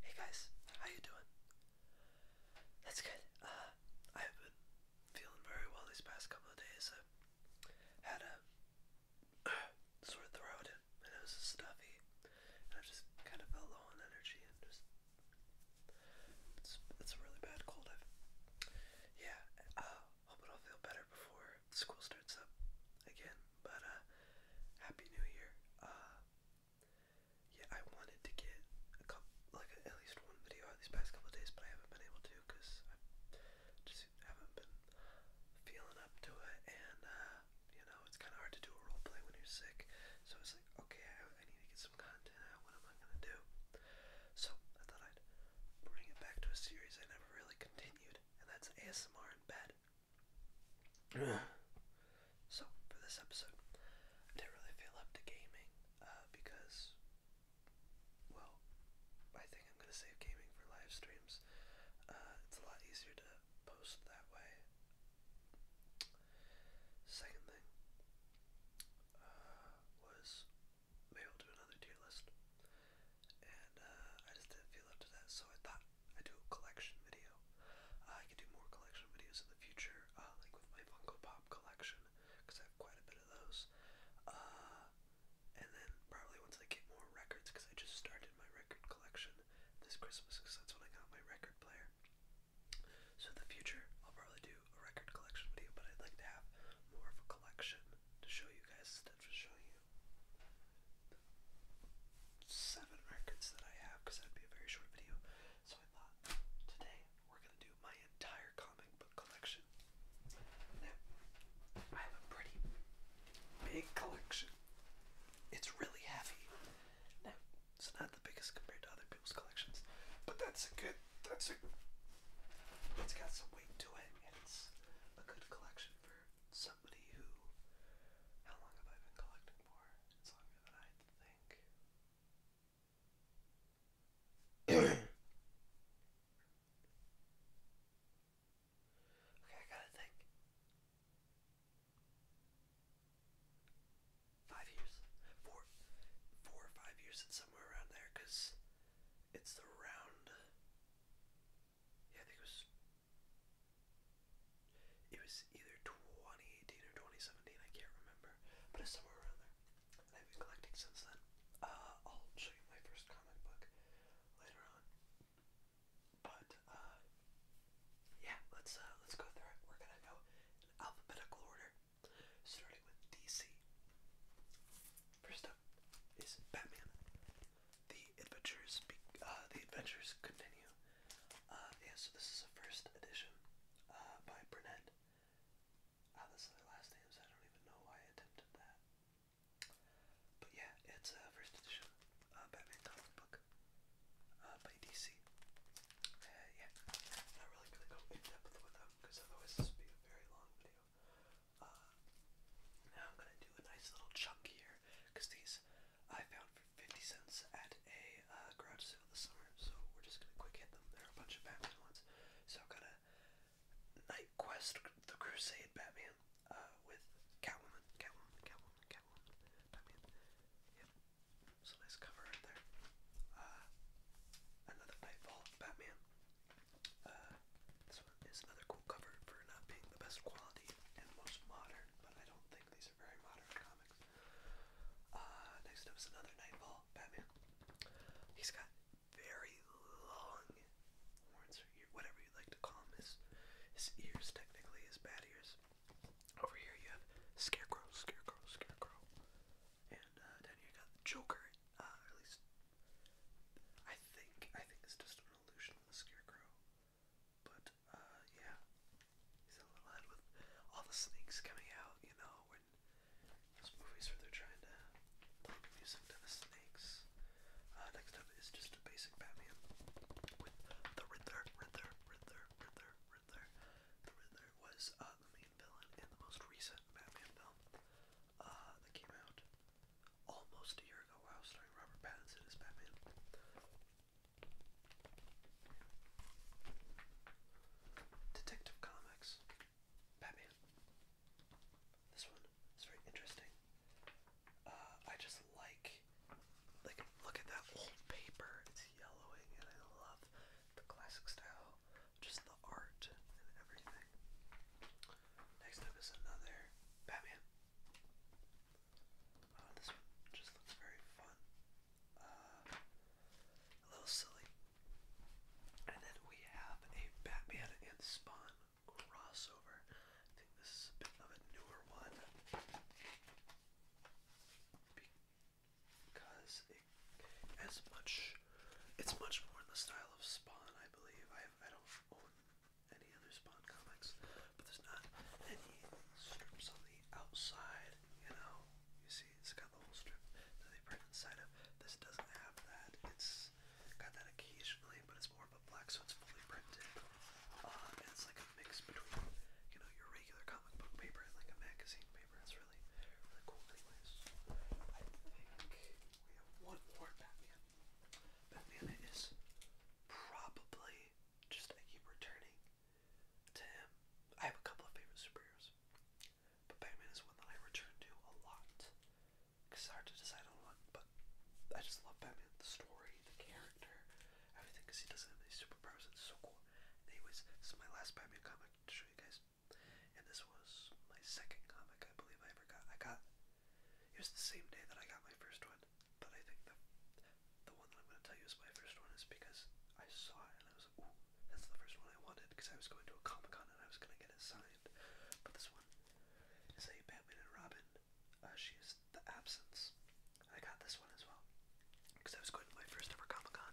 Hey guys, how you doing? That's good. Uh, I've been feeling very well these past couple of days. I had a sore throat and, and it was stuffy, and I just kind of felt low on energy and just it's, it's a really bad cold. I've yeah. Uh, hoping I'll feel better before school starts up again. But uh, happy New Year. Uh, yeah, I wanted to get a couple, like at least one video these past couple days, but I haven't been able to because I just haven't been feeling up to it, and uh, you know, it's kind of hard to do a role when you're sick. So it's like, okay, I, need to get some content out. What am I gonna do? So I thought I'd bring it back to a series I never really continued, and that's ASMR in bed. so for this episode, I didn't really feel up to gaming uh, because, well, I think I'm gonna save gaming for live streams. Uh, it's a lot easier to post that way. Second thing uh, was maybe I'll do another tier list, and I just didn't feel up to that, so I thought I do a collection video. Uh, I can do more collection videos in the future, uh, like with my Funko Pop collection, because I have quite a bit of those. Uh, and then probably once I get more records, because I just started my record collection this Christmas, because that's when I got my record player. So in the future, I'll probably do a record collection video, but I'd like to have more of a collection to show you guys instead of showing you seven records that I have because that'd be a very short video. So I thought today we're gonna do my entire comic book collection. I have a pretty big collection. It's really heavy. it's not the biggest compared to other people's collections, but that's a good. That's a. It's got some weight to it, and it's a good collection for somebody who. How long have I been collecting for? It's longer than I think. okay, I gotta think. Five years, four, four or five years, it's somewhere around there, cause it's the yeah, I think it was. It was either 2018 or 2017, I can't remember, but it's somewhere around there. And I've been collecting since then. Uh, I'll show you my first comic book later on. But uh, yeah, let's uh, let's go through it. We're gonna go alphabetical order, starting with DC. First up is Batman the adventures uh, the adventures continue. Uh, yeah, so this is a first edition uh, by Burnett. Uh, that's their last names. I don't even know why I attempted that. But yeah, it's a first edition uh, Batman comic book uh, by DC. Uh, yeah, not really gonna go in depth with them because otherwise this would be a very long video. Uh, now I'm gonna do a nice little chunk here because these I found 50 cents at a uh, garage sale this summer, so we're just gonna quick hit them. There are a bunch of Batman ones. So I've got a Night Quest, The Crusade Batman, uh, with Catwoman, Catwoman, Catwoman, Catwoman, Batman. Yep. So nice cover there. Uh, another Nightfall Batman. this one is another cool cover for not being the best quality and most modern, but I don't think these are very modern comics. Uh, next up is another Nightfall Batman. He's got very long whatever you like to call them. His, ears, technically, his bat ears. Over here you have Scarecrow, Scarecrow, Scarecrow. And uh, down here you got the Joker, uh, at least I think, I think it's just an illusion of the Scarecrow. But uh, yeah, he's a little head with all the snakes coming out. You know, those movies where they're trying to play the to the snakes. Uh, next up is just a basic Batman with the Riddler, Riddler, Riddler, Riddler, Riddler. The Riddler was uh, the main villain in the most recent Batman film that came out almost a year ago. Wow, starring Robert Pattinson as Batman. Detective Comics, Batman. This one is very interesting. Uh, I just like, like, look at that old paper. It's yellowing, and I love the classic style, just the art and everything. Next up is another Batman. Oh, this one just looks very fun. Uh, a little silly. And then we have a Batman and Spawn crossover. I think this is a bit of a newer one. Because it as much it's much more in the style of Spawn, I believe. I I don't own any other Spawn comics, but there's not any strips on the outside, you know. You see, it's got the whole strip that they print inside of. This doesn't have that. It's got that occasionally, but it's more of a black, so it's fully printed. Um, and it's like a mix between, you know, your regular comic book paper and like a magazine paper. It's really, really cool. Anyways, I think we have one more Batman. Batman is probably just I keep returning to him. I have a couple of favorite superheroes, but Batman is one that I return to a lot. Cause it's hard to decide on one, but I just love Batman. The story, the character, everything. Cause he doesn't have any superpowers. It's so cool. Anyways, this is my last Batman comic to show you guys, and this was my second comic I believe I ever got. I got. It was the same day that I got my first one. But I think the the one that I'm going to tell you is my first one is because I saw it and I was like, ooh, that's the first one I wanted because I was going to a Comic Con and I was going to get it signed. But this one is a Batman and Robin. Uh, she is the absence. And I got this one as well because I was going to my first ever Comic Con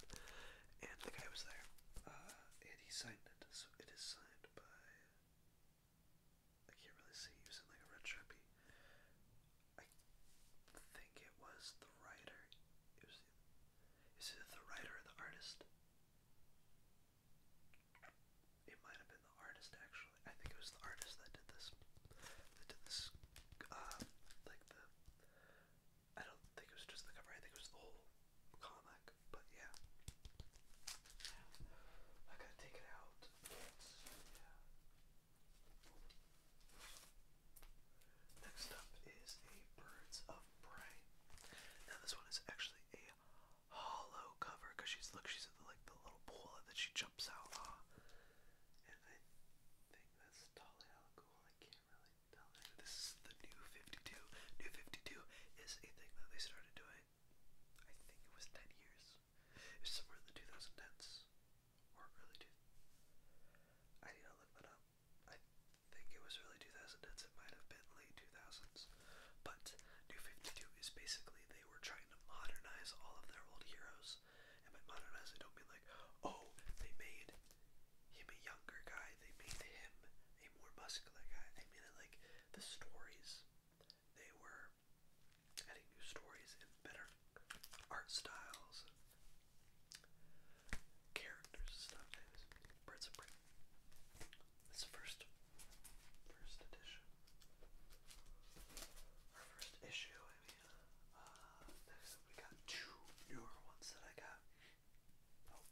and the guy was there. Uh, and he signed it, so it is signed by I can't really see using like a red sharpie. I think it was the writer. It was. Is it the writer or the artist? It might have been the artist actually. I think it was the artist that did this. That did this. Uh, like the. I don't think it was just the cover. I think it was the whole comic. But yeah, I gotta take it out. Yeah. Next up is a Birds of Prey. Now this one is actually a hollow cover because she's look she's like the little pool that she jumps out on. And I think that's Dolly Alcohol. I can't really tell. This is the new 52. New 52 is a thing that they started doing. I think it was 10 years it somewhere in the 2010s or early two. I need to look that up. I think it was early 2010s. It might have been late 2000s. But New 52 is basically they were trying to modernize all of their old heroes. And by modernize, I don't mean like, oh, they made him a younger guy. They made him a more muscular guy. I mean, like, the stories, they were adding new stories and better art styles characters stuff. It's the first, first edition. Our first issue, I mean. Uh, next uh, we got two newer ones that I got. Oh,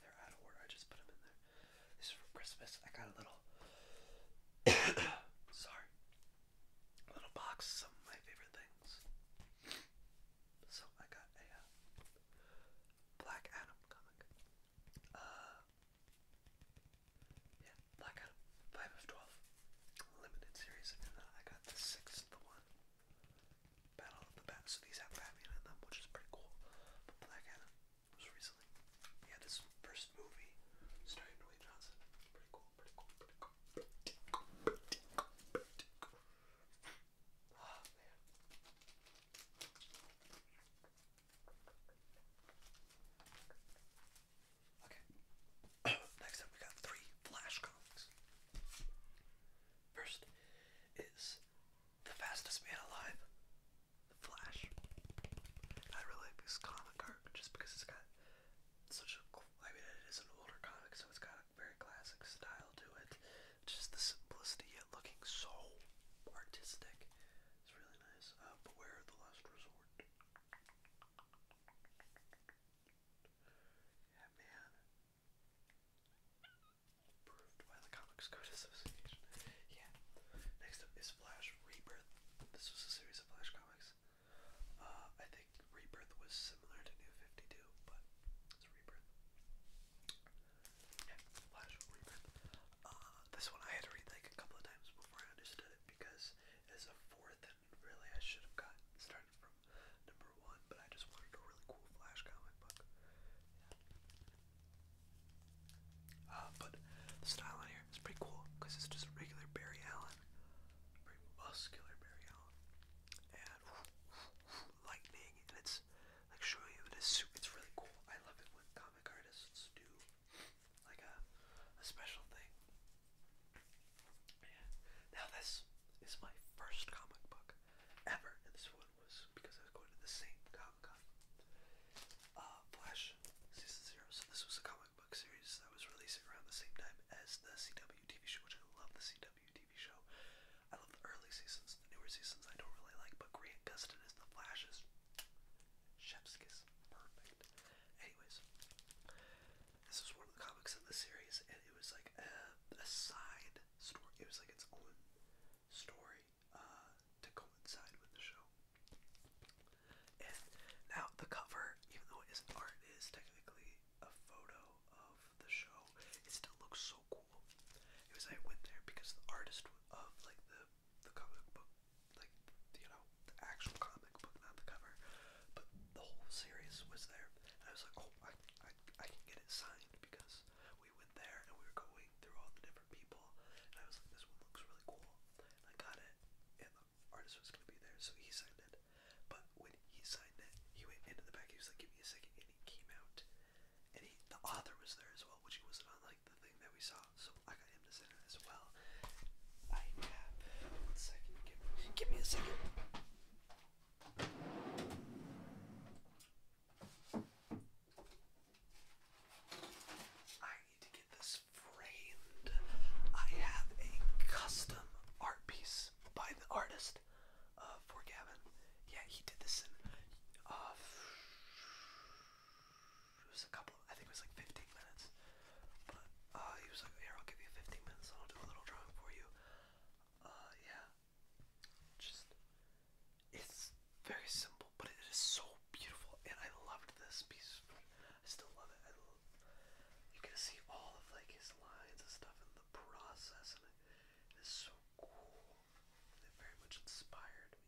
they're out of order. I just put them in there. This is for Christmas. I got a little. Sorry little box some of my favorite things. So I got a uh, Black Adam comic. Uh, yeah, Black Adam, five of twelve, limited series, I got the sixth the one. Battle of the Bat. So these have Batman in them, which is pretty cool. Black Adam was recently. He had first movie starring Dwayne Johnson. Pretty cool cool, pretty Okay. Next up we got three flash comics. First is The Fastest Man Alive, The Flash. I really like this comic art just because it's got such a, I mean, it is an older comic, so it's got a very classic style to it. Just the simplicity yet looking so artistic. It's really nice. Uh, Beware the Last Resort. Yeah, Approved by the Comics Code Association. Yeah. Next up is Flash Rebirth. This was a series of Flash comics uh, I think Rebirth was similar to New 52, but it's Rebirth. Flash Rebirth. Uh, this one I had to read like a couple of times before I understood it because it's a fourth, and really I should have gotten started from number one, but I just wanted a really cool Flash comic book. Uh, but the style here is pretty cool because it's just regular Barry Allen very muscular Barry Allen, and lightning, and it's like showing him in It's really cool. I love it when comic artists do like a a special thing. Yeah. Now this is my first comic book ever, and this one was because I was going to the same Comic Con. Uh, Flash season zero. So this was a comic book series that was released around the same time as the CW TV show, which I love the CW TV show. I love the early seasons, the newer seasons I don't really like, but Grant Gustin is the Flash's chef's kiss. Perfect. Anyways, this was one of the comics in the series, and it was like a, a side story. It was like its own story uh, to coincide with the show now the cover, even though it art, it is technically a photo of the show. It still looks so cool. It was I went there because the artist of like the the comic book, like you know, the actual comic book, not the cover, but the whole series was there. And I was like, oh, I I, can get it signed because we went there and we were going through all the different people, and I was like, this one looks really cool. I got it, artist was gonna be there, so he signed it. But when he signed it, he went into the back. He was like, "Give me a second," and he came out, and he the author was there as well, which he wasn't on like the thing that we saw. So I got him to sign it as well. I have one second. Give, give me a second. I need to get this I have a custom art piece by the artist uh, for Gavin. Yeah, he did this in uh, it was a couple. I think it was like 15 minutes. But uh, he was like, "Here, I'll give you 15 minutes. I'll do a little drawing for you." yeah. Just it's very simple, but it is so beautiful, and I loved this piece. I still love it. you can see all of like his lines and stuff in the process, and it is so cool. It very much inspired me.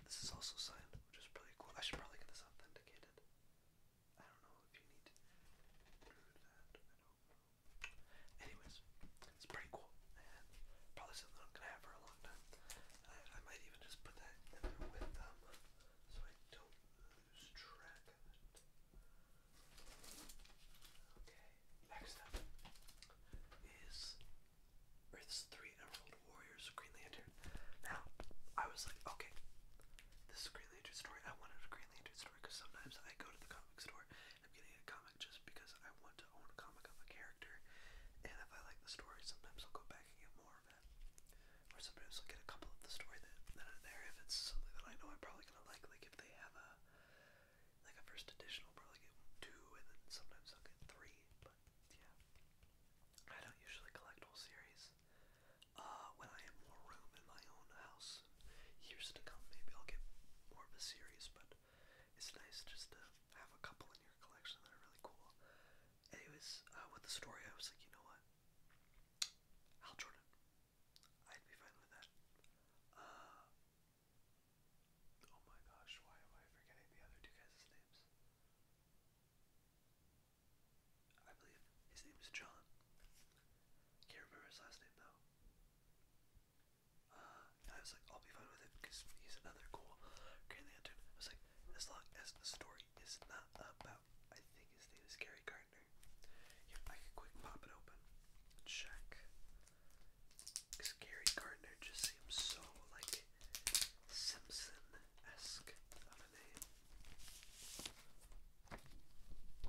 And this is also signed, which is really cool. I should probably get this authenticated. I don't know if you need to do that. I don't know. Anyways, it's pretty cool. And probably something I'm gonna have for a long time. I, might even just put that with them um, so I don't next up is Earth's Three Emerald Warriors Green Lantern. Now, I was like, okay, this is Green Lantern story. I wanted a Green Lantern story because sometimes I go to the comic store and I'm getting a comic just because I want to own a comic of a character. And if I like the story, sometimes I'll go back and get more. Or sometimes I'll get a couple of the story that are there if it's something that I know I'm probably gonna like. Like if they have a like a first edition, I'll probably get two, and then sometimes I'll get three. But yeah, I don't usually collect whole series. Uh, when I have more room in my own house, years to come, maybe I'll get more of a series. But it's nice just to have a couple in your collection that are really cool. Anyways, uh, with the story, I was like, you know what? Hal Jordan. I'd be fine with that. Uh, oh my gosh, why am I forgetting the other two guys' names? I believe his name is John. Can't remember his last name though. Uh, I was like, I'll be fine with it because he's another cool Green Lantern. I was like, as long as the story is not about I think his name is Gary Gardner. Yeah, I can quick pop it open. Check. Cause Gary Gardner just seems so like Simpson-esque of a name. Yeah.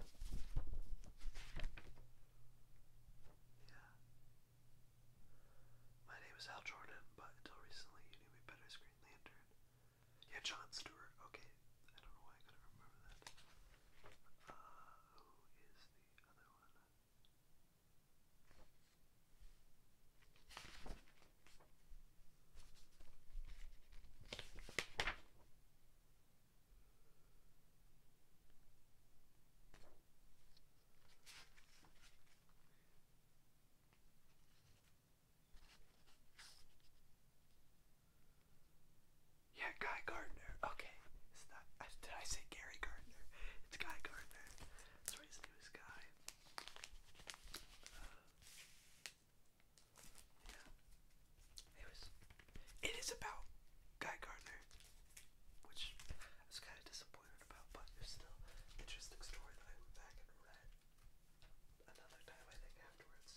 My name is Al Jordan, but until recently you knew me better as Green Lantern. Yeah, John Stewart. Okay, I don't know why I couldn't remember that. Uh, who is the other one? Yeah, Guy Gardner. Okay, it's not. Did I say Gary Gardner? It's Guy Gardner. That's right, his name is Guy. Uh, yeah. It was. It is about Guy Gardner, which I was kind of disappointed about, but it's still an interesting story that I went back and read another time, I think, afterwards.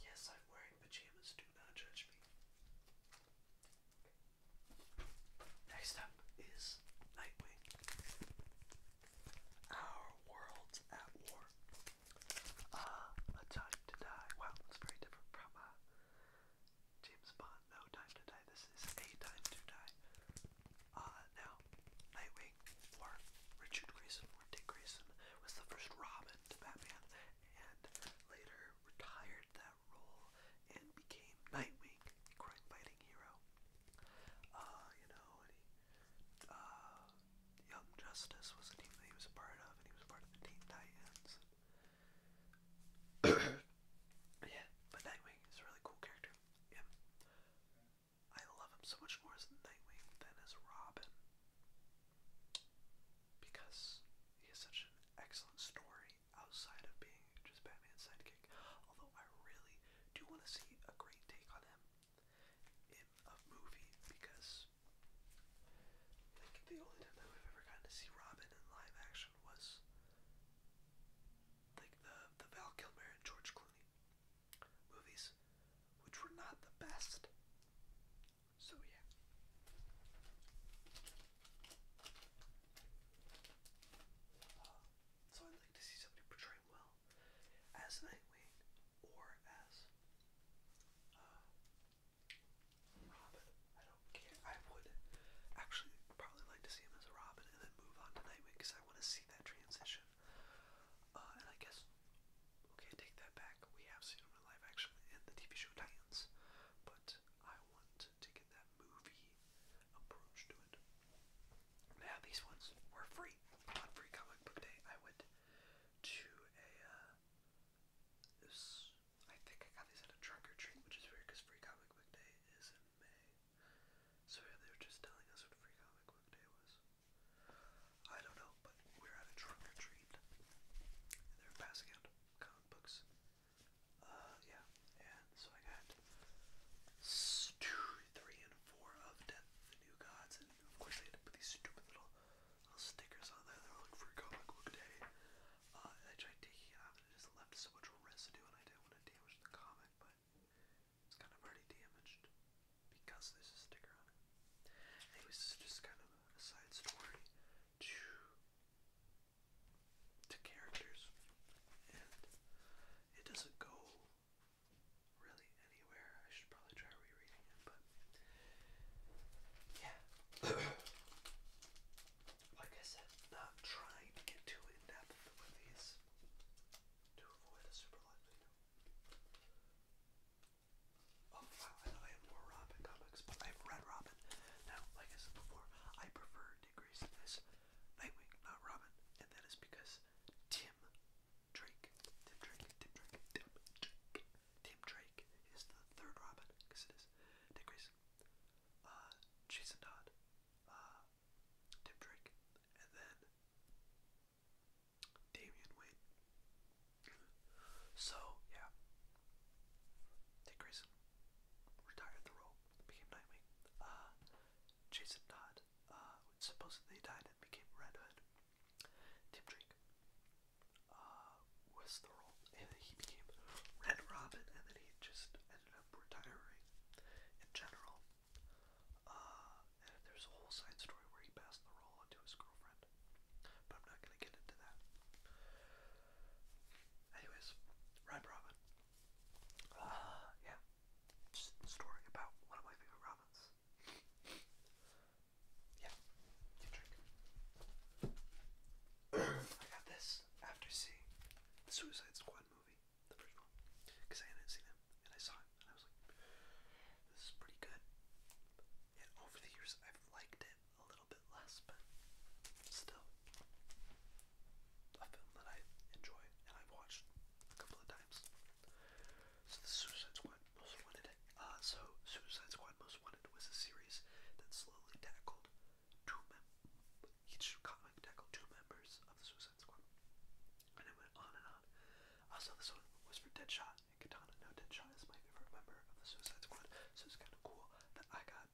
Yes, I'm wearing pajamas, do not judge me. Next up is Nightwing. Our world's at war. Uh, a time to die. Wow, it's very different from uh, James Bond. No time to die. This is a time to die. Uh, now, Nightwing or Richard Grayson or Dick Grayson was the first Robin to Batman and later retired that role and became Nightwing, crime-fighting hero. Uh, you know, uh, Young Justice was a team that he was a part of, and he was part of the Teen Titans. yeah, but Nightwing is a really cool character. Yeah. I love him so much more as Nightwing than as Robin. Because he has such an excellent story outside of being just Batman's sidekick. Although I really do want to see a great take on him in a movie because like the only time that we've ever gotten to see Robin in live action was like the the Val Kilmer and George Clooney movies, which were not the best. So, yeah. Uh, so, I'd like to see somebody portray well as Nightwing or as uh, Robin. I don't care. I would actually probably like to see him as a Robin and then move on to Nightwing because I want to see that transition. Uh, and I guess, okay, take that back. We have seen him live action in the TV show Titans, but I want to get that movie approach to it. Now these ones were free on Free Comic Book Day. I went to a uh, this. I think I got these at a trunk or treat, which is weird because Free Comic Book Day is in May. So yeah, they were just telling us what Free Comic Book Day was. I don't know, but we are at a trunk or treat. And they were passing out comic books. Uh, yeah. And so I got two, three, and four of the New Gods. And of course they had to put these stupid little, little stickers on there. They were like, Free Comic Book Day. Uh, I tried taking it off and it just left so much residue and I didn't want to damage the comic, but it's kind of already damaged because there's a sticker on it. Anyways, it's just kind of a side story to, characters, and it doesn't go really anywhere. I should probably try rereading it, but yeah. like I said, not trying to get too in depth with these to avoid a super light Oh wow, I thought I had more Robin comics, but I have Red Robin. Now, like I said before, I prefer Dick Grayson Nightwing, not Robin, and that is because Tim Drake, Tim Drake, Tim Drake, Tim Drake, Tim Drake is the third Robin, because it is Dick Grayson, uh, Jason Todd, uh, Tim Drake, and then Damian Wayne. So, yeah. Dick Grayson retired the role, became Nightwing. Uh, Jason Todd uh, supposedly died and became Red Hood. Tim Drake uh, was the role, and then he became Red Robin, and then he just ended up retiring in general. Uh, and there's a whole side story where he passed the role on his girlfriend. But I'm not going to get into that. Anyways, Ryan Robin. Uh, yeah. Just story about one of my favorite Robins. yeah. You I got this after seeing the Suicide Squad movie the first one, because I hadn't seen him, and I saw him, and I was like, this is pretty good. And over the years, I've liked it a little bit less, but still, a film that I enjoy, and I've watched a couple of times. So the Suicide Squad Most Wanted, uh, so Suicide Squad Most Wanted was a series that slowly tackled two mem each comic tackled two members of the Suicide Squad. And it went on and on. Also, this one was for Deadshot and Katana. Now, Deadshot is my favorite member of the Suicide Squad, so it's kind of cool that I got,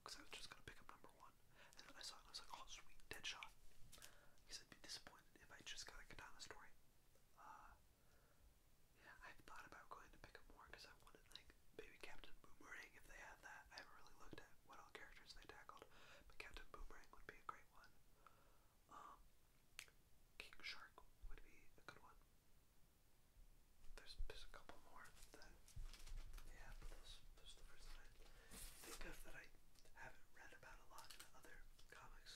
because uh, I was just going to pick up number one. And then I saw it I was like, oh, sweet, Deadshot. Because i be disappointed if I just got a story. Uh, yeah, thought about going to pick up more because I wanted, like, maybe Captain Boomerang if they had that. I haven't really looked at what all characters they tackled, but Captain Boomerang would be a great. Um, King Shark would be a good one. There's, there's a couple more yeah, but those, those are the first that I think of that I haven't read about a lot in other comics.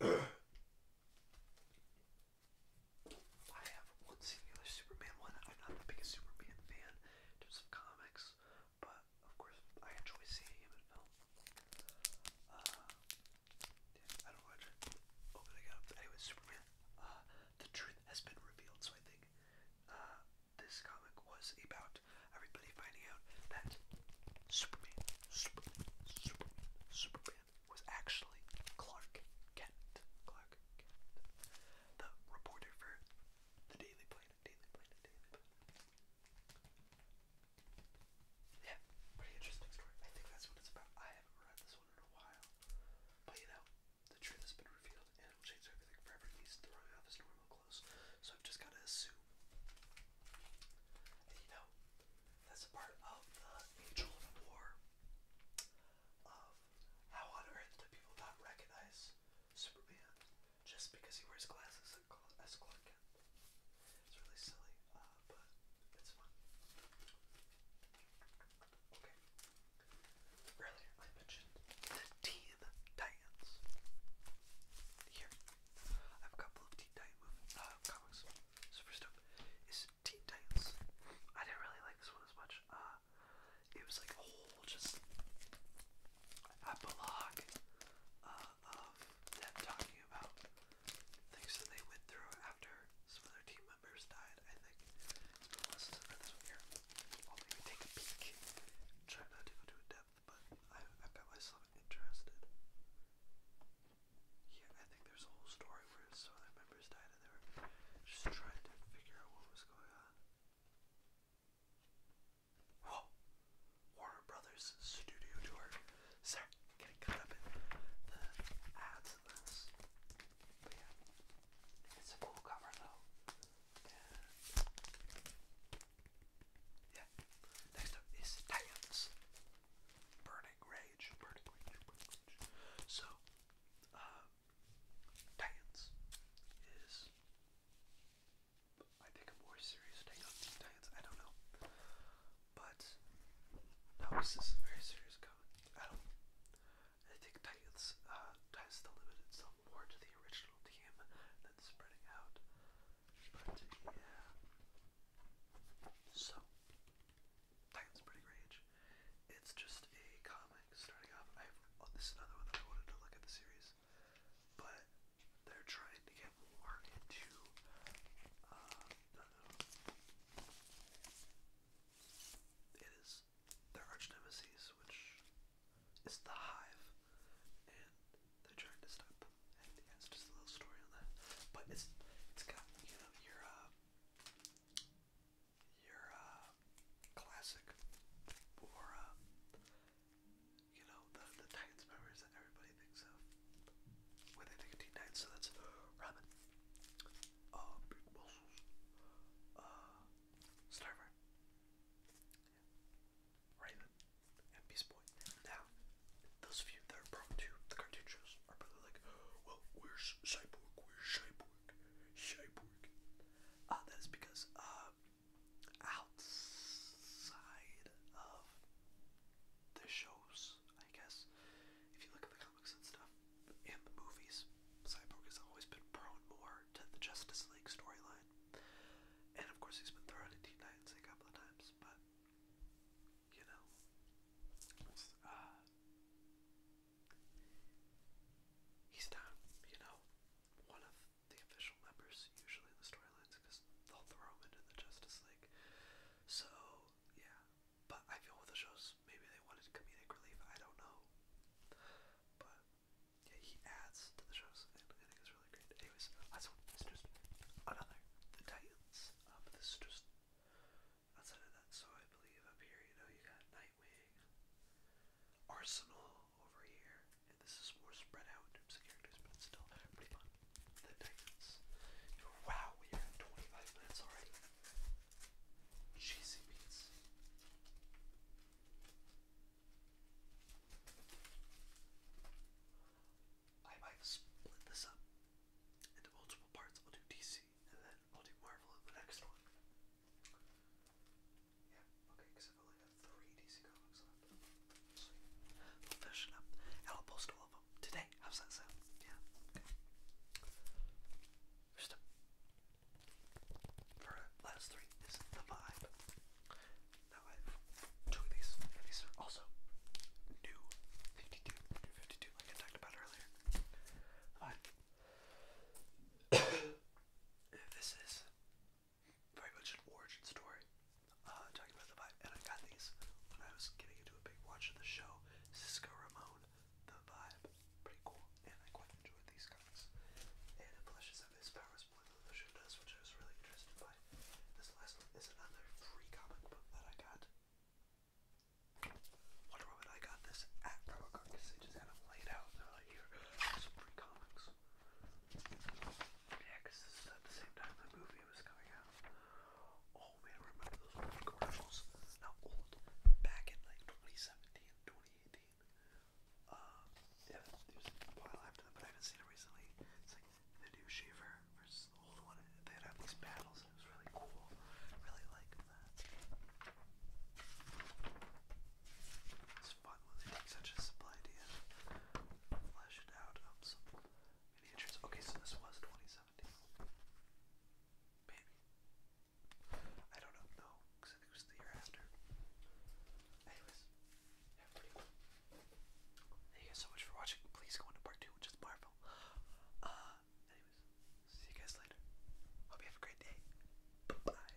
I have one singular Superman one. I'm not the biggest Superman fan in terms of comics, but of course, I enjoy seeing him in film. Uh, yeah, I don't watch it. Oh, up. Anyway, Superman. Uh, the truth has been revealed, so I think uh, this comic was about everybody finding out that Superman, Superman, Superman, Superman was actually Clark Kent. Clark Kent. The reporter for the Daily Planet, Daily Planet, Daily Planet. Yeah, pretty interesting story. I think that's what it's about. I haven't read this one in a while. But you know, the truth has been revealed and it will everything forever. He's throwing off his normal clothes. So I've just gotta assume. you know, that's a part of the Angel of War of how on earth do people not recognize Superman? just because he wears glasses as Clark Kent. It's really silly, uh, but it's fun. Okay. Earlier I mentioned the Teen Titans. Here, I have a couple Teen Titan movies, uh, comics. So is Teen Titans. I didn't really like this one as much. Uh, it was like a whole just epilogue uh, of them talking about things that they went through after some of team members died, I think. Let's listen to this one here. I'll take a peek. Try not to go too in depth, but I, I bet myself interested. Yeah, I think there's a whole story where some of members died and they were just trying to figure out what was going on. Whoa! Warner Brothers Studio Tour. getting caught up in the ads in this. But yeah, it's a cool cover though. yeah, next up is Titans. Burning Rage, Burning Rage, Burning Rage. So, uh, is I think a more serious take on Titans. I don't know, but no, this very serious comment. I don't. I think Titans uh, tries to limit more to the original team than spreading out. But yeah, so Titans Pretty Rage. It's just a comic starting off. I have this is another one that I wanted to look at the series, but they're trying to get more into uh, it is their arch nemesis, which is the Hive, and they're trying to stop them. And yeah, just a little story on that, but it's it's got you know your uh, your uh, classic or you know, the, the Titans members that everybody thinks of when they think of Titans. So that's Robin, uh, Big uh, Raven, and Beast Boy. Now, those of that are prone to the cartoon are probably like, well, where's Cyborg? Where's Cyborg? Cyborg. Uh, that is because, uh, outside of the shows, I guess. If you look at the comics and stuff, and the movies, Cyborg has always been prone more to the Justice League storyline. And of course, he's been thrown into Titans a couple of times, but you know, uh, he's not, you know, one of the official members usually the storylines because they'll throw them into the Justice League. So yeah, but I feel with the shows maybe they wanted comedic relief. I don't know, but yeah, he adds to the shows and I think it's really great. Anyways, last one another the Titans. Um, this just outside of that. So I believe up here, you know, you got Nightwing, Arsenal over here, and this is more spread out in terms of characters, but still pretty fun. The Titans. Wow, we are 25 minutes already. Cheesy beats. I might split this up into multiple parts. I'll do DC, and then I'll do Marvel in the next one. Yeah, okay, because I've only got three DC comics left. Sweet. We'll finish up and I'll post all of them today. How's that sound? Yeah, okay. First up, for last three is the vibe. Now I have two of these, these are also new 52, like I talked about earlier. The this is very much an origin story, uh, talking about the Vibe. And I got these when I was getting into a big watch of the show, Cisco Ramon, The Vibe. Pretty cool, and I quite enjoyed these comics. And it flashes up his powers more the show does, which I was really interested by. This last one is another free comic book that I got. Wonder Woman, I got this at Robocon because they just had them laid out. They're like, here, some free comics. Christmas. Yeah, this is at the same time the movie was coming out. Oh man, remember those old commercials? Not old, back in like 2017, uh, yeah, it was a while after that, but I haven't seen it recently. It's like the new Shaver versus the old one. They'd these battles, and it was really cool. really like that. Um, okay, so this was 2017. Maybe. I don't know, no, because it was the year after. Anyways, Thank you guys so much for watching. Please go into part two, which is Marvel. Uh, anyways, see you guys later. Hope you have a great day. Bye bye.